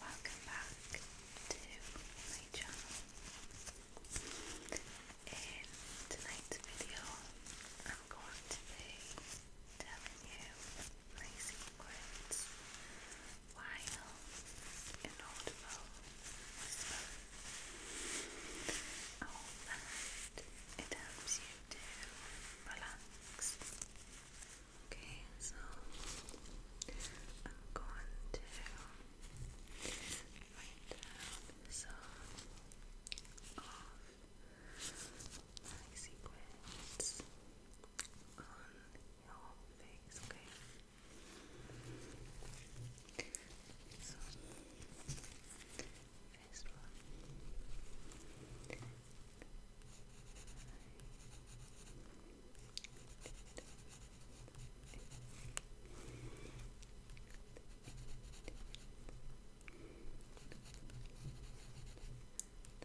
Welcome back to my channel. In tonight's video, I'm going to be telling you Phrasing words while inaudible All that it helps you to relax. Okay, so I'm going to write down some like sequins on your face, okay? first one.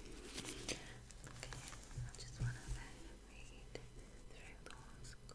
Okay, I just want to read through the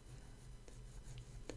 Just make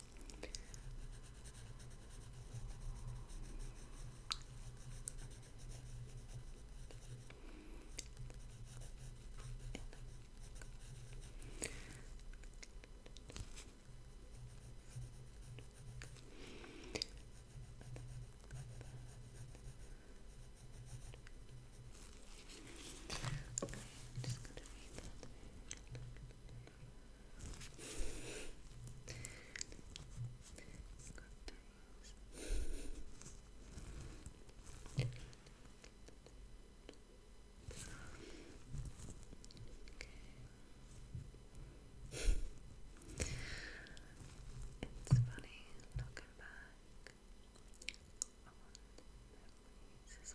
Okay, I'm just going to read that. It's funny looking back on memories as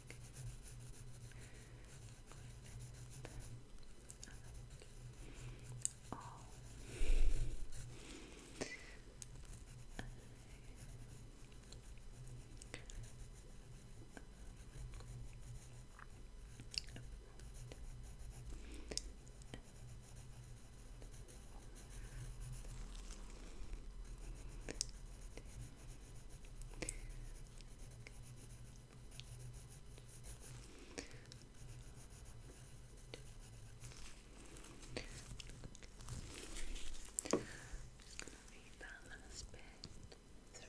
Oh. Right. I'm just read that last bit through.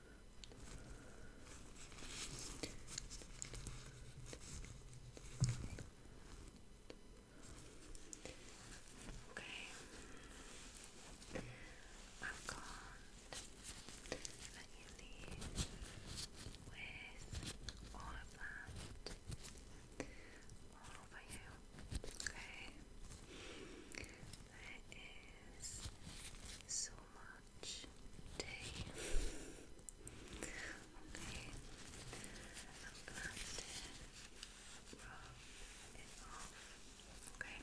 Okay, I've got that you with all that over you. Okay, there is so much day. okay, I'm gonna rub it off. Okay.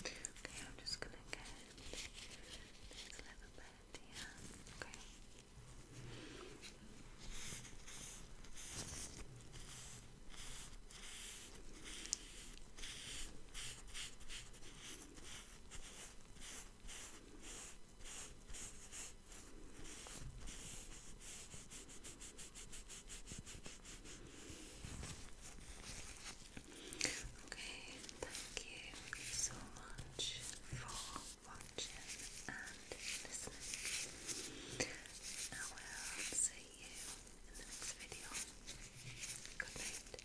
Okay, I'm just gonna get this little bit here. Okay. Okay, thank you so much for watching and listening. I will see you in the next video. Good night.